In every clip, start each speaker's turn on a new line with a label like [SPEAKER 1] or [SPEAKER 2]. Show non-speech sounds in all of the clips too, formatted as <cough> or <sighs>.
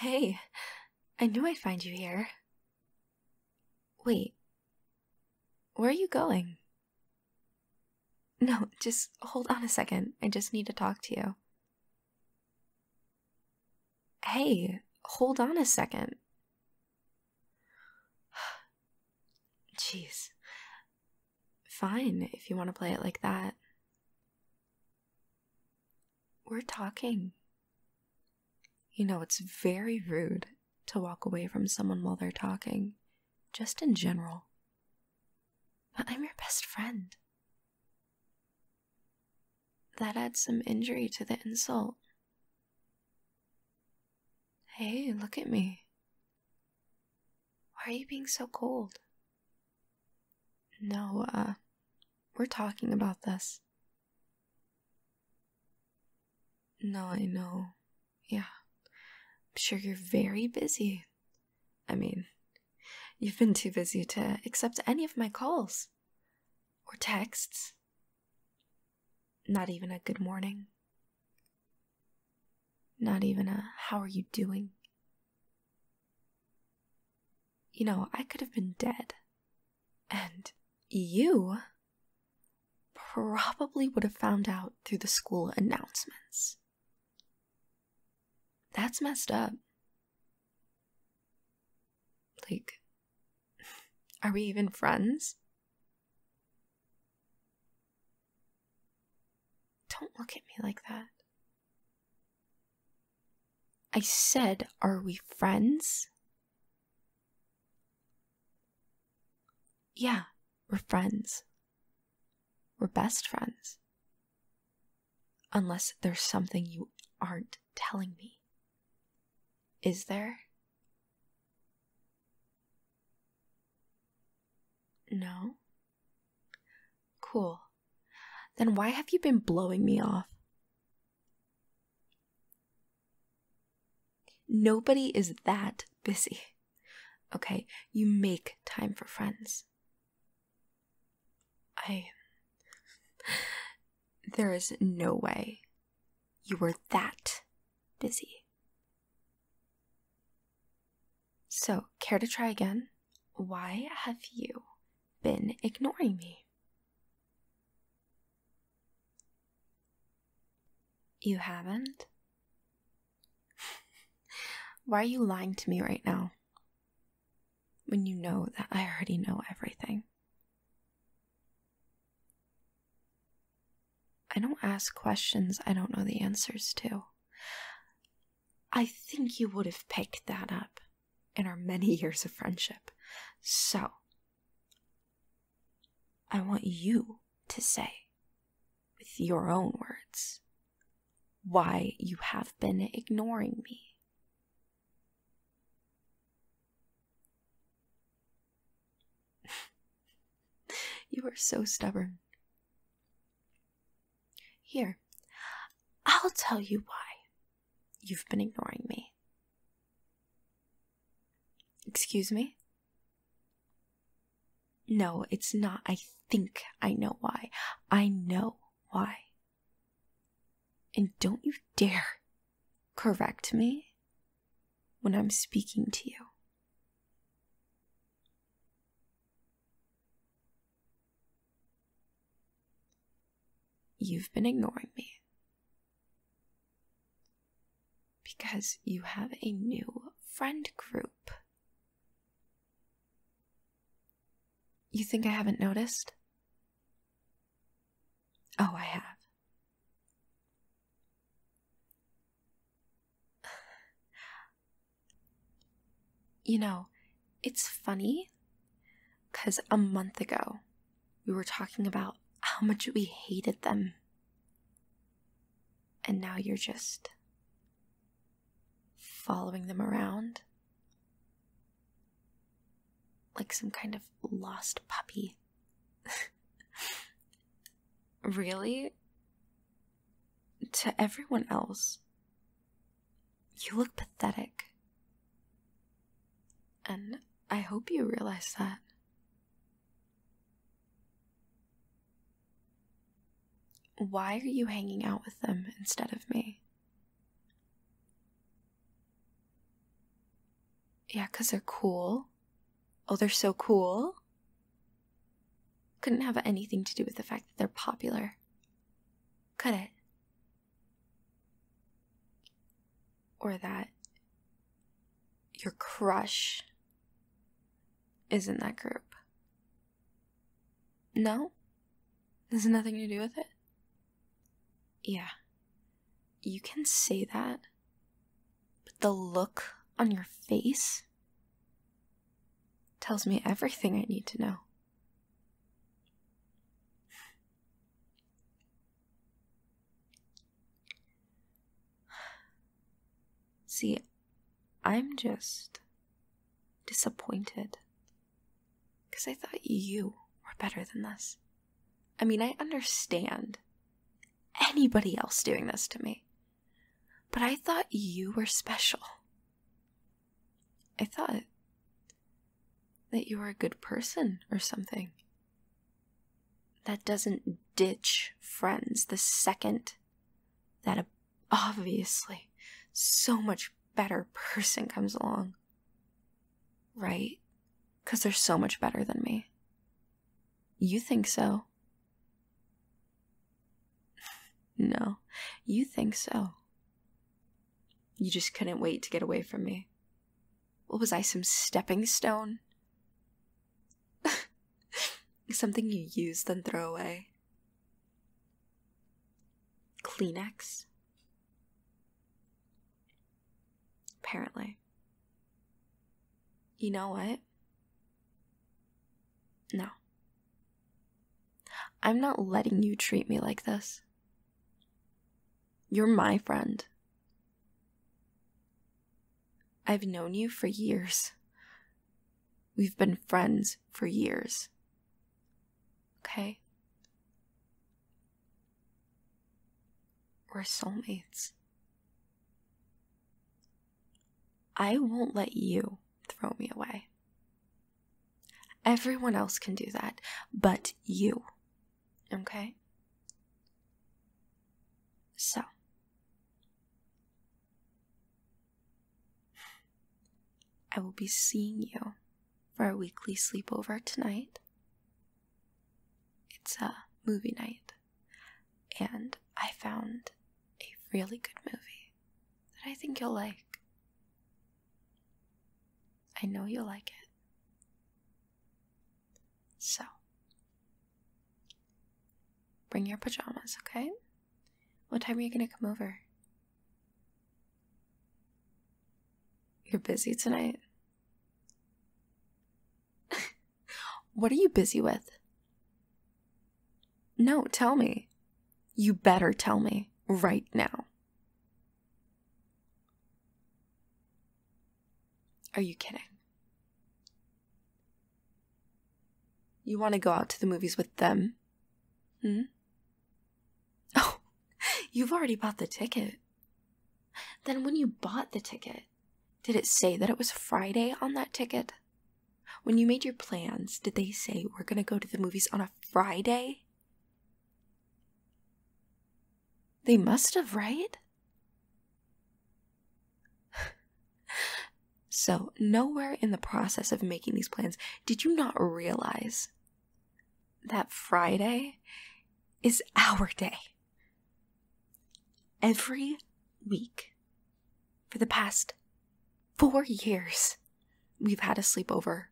[SPEAKER 1] Hey, I knew I'd find you here. Wait, where are you going? No, just hold on a second. I just need to talk to you. Hey, hold on a second. <sighs> Jeez, fine if you want to play it like that. We're talking. You know, it's very rude to walk away from someone while they're talking, just in general. But I'm your best friend. That adds some injury to the insult. Hey, look at me. Why are you being so cold? No, uh, we're talking about this. No, I know. Yeah. I'm sure you're very busy. I mean, you've been too busy to accept any of my calls or texts. Not even a good morning. Not even a how are you doing? You know, I could have been dead. And you probably would have found out through the school announcements. That's messed up. Like, <laughs> are we even friends? Don't look at me like that. I said, Are we friends? Yeah, we're friends. We're best friends. Unless there's something you aren't telling me. Is there? No? Cool. Then why have you been blowing me off? Nobody is that busy. Okay, you make time for friends. I. <laughs> There is no way you were that busy. So, care to try again? Why have you been ignoring me? You haven't? <laughs> Why are you lying to me right now? When you know that I already know everything. I don't ask questions I don't know the answers to. I think you would have picked that up in our many <laughs> years of friendship. So, I want you to say, with your own words, why you have been ignoring me you are so stubborn. Here, I'll tell you why you've been ignoring me. Excuse me? No, it's not. I think I know why. I know why. And don't you dare correct me when I'm speaking to you. You've been ignoring me because you have a new friend group. You think I haven't noticed? Oh, I have. <sighs> you know, it's funny because a month ago we were talking about how much we hated them. And now you're just following them around like some kind of lost puppy. <laughs> really? To everyone else, you look pathetic. And I hope you realize that. Why are you hanging out with them instead of me? Yeah, because they're cool. Oh, they're so cool. Couldn't have anything to do with the fact that they're popular. Could it? Or that your crush is in that group. No? There's nothing to do with it? Yeah, you can say that, but the look on your face tells me everything I need to know. <sighs> See, I'm just disappointed because I thought you were better than this. I mean, I understand anybody else doing this to me, but I thought you were special. I thought that you were a good person or something. That doesn't ditch friends the second that a obviously, so much better person comes along. Right? Because they're so much better than me. You think so? <sighs> no, you think so. You just couldn't wait to get away from me. What was I, some stepping stone? <laughs> Something you use then throw away. Kleenex? Apparently. You know what? No. I'm not letting you treat me like this. You're my friend. I've known you for years. We've been friends for years. Okay? We're soulmates. I won't let you throw me away. Everyone else can do that, but you. Okay? So, I will be seeing you for our weekly sleepover tonight. It's a movie night, and I found a really good movie that I think you'll like. I know you'll like it. So, bring your pajamas, okay? What time are you going to come over? You're busy tonight? <laughs> what are you busy with? No, tell me. You better tell me right now. Are you kidding? You want to go out to the movies with them? Hmm? <laughs> Oh, you've already bought the ticket. Then when you bought the ticket, did it say that it was Friday on that ticket? When you made your plans, did they say we're going to go to the movies on a Friday? They must have, right? so, nowhere in the process of making these plans did you not realize that Friday is our day. Every week for the past four years, we've had a sleepover.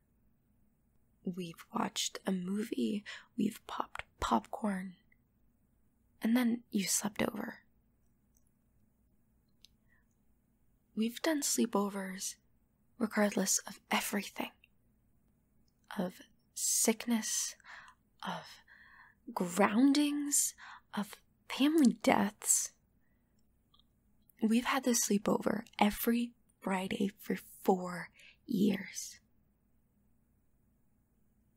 [SPEAKER 1] We've watched a movie, we've popped popcorn, and then you slept over. We've done sleepovers regardless of everything of sickness, of groundings, of family deaths. We've had this sleepover every Friday for four years.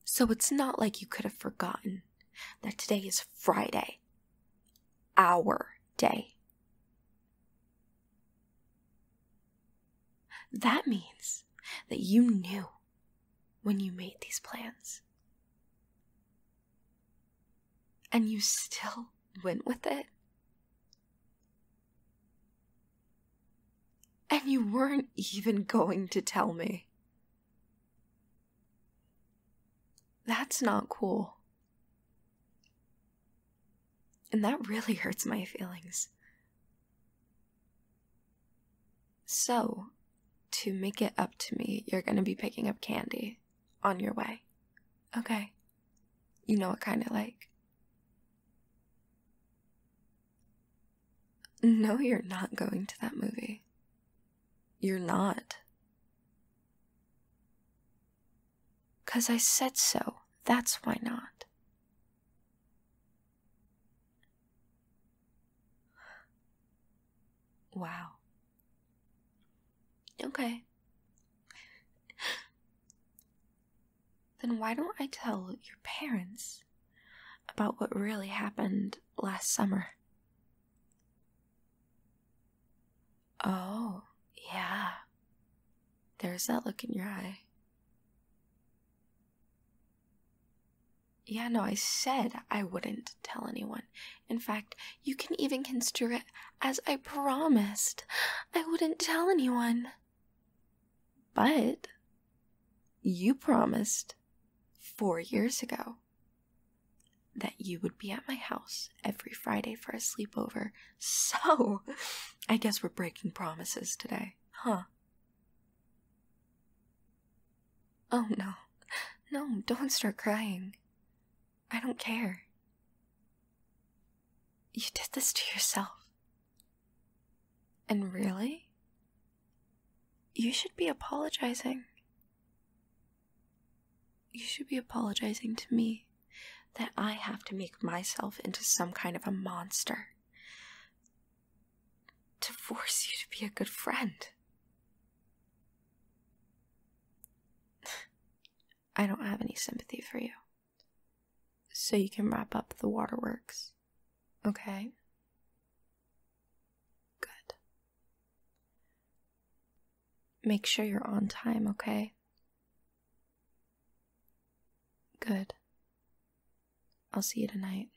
[SPEAKER 1] So it's not like you could have forgotten that today is Friday, our day. That means that you knew when you made these plans. And you still went with it. And you weren't even going to tell me. That's not cool. And that really <laughs> hurts my feelings. So, to make it up to me, you're gonna be picking up candy on your way. Okay. You know what kind of like. No, you're not going to that movie. You're not. Because I said so. That's why not. Wow. Okay. Then why don't I tell your parents about what really happened last summer? Oh, yeah. There's that look in your eye. Yeah, no, I said I wouldn't tell anyone. In fact, you can even construe it as I promised I wouldn't tell anyone. But you promised four years ago that you would be at my house every Friday for a sleepover. <laughs> So, I guess we're breaking promises today, huh? Oh no. No, don't start crying. I don't care. You did this to yourself. And really? You should be apologizing. You should be apologizing to me that I have to make myself into some kind of a monster to force you to be a good friend. <sighs> I don't have any sympathy for you so you can wrap up the waterworks. Okay? Good. Make sure you're on time, okay? Good. I'll see you tonight.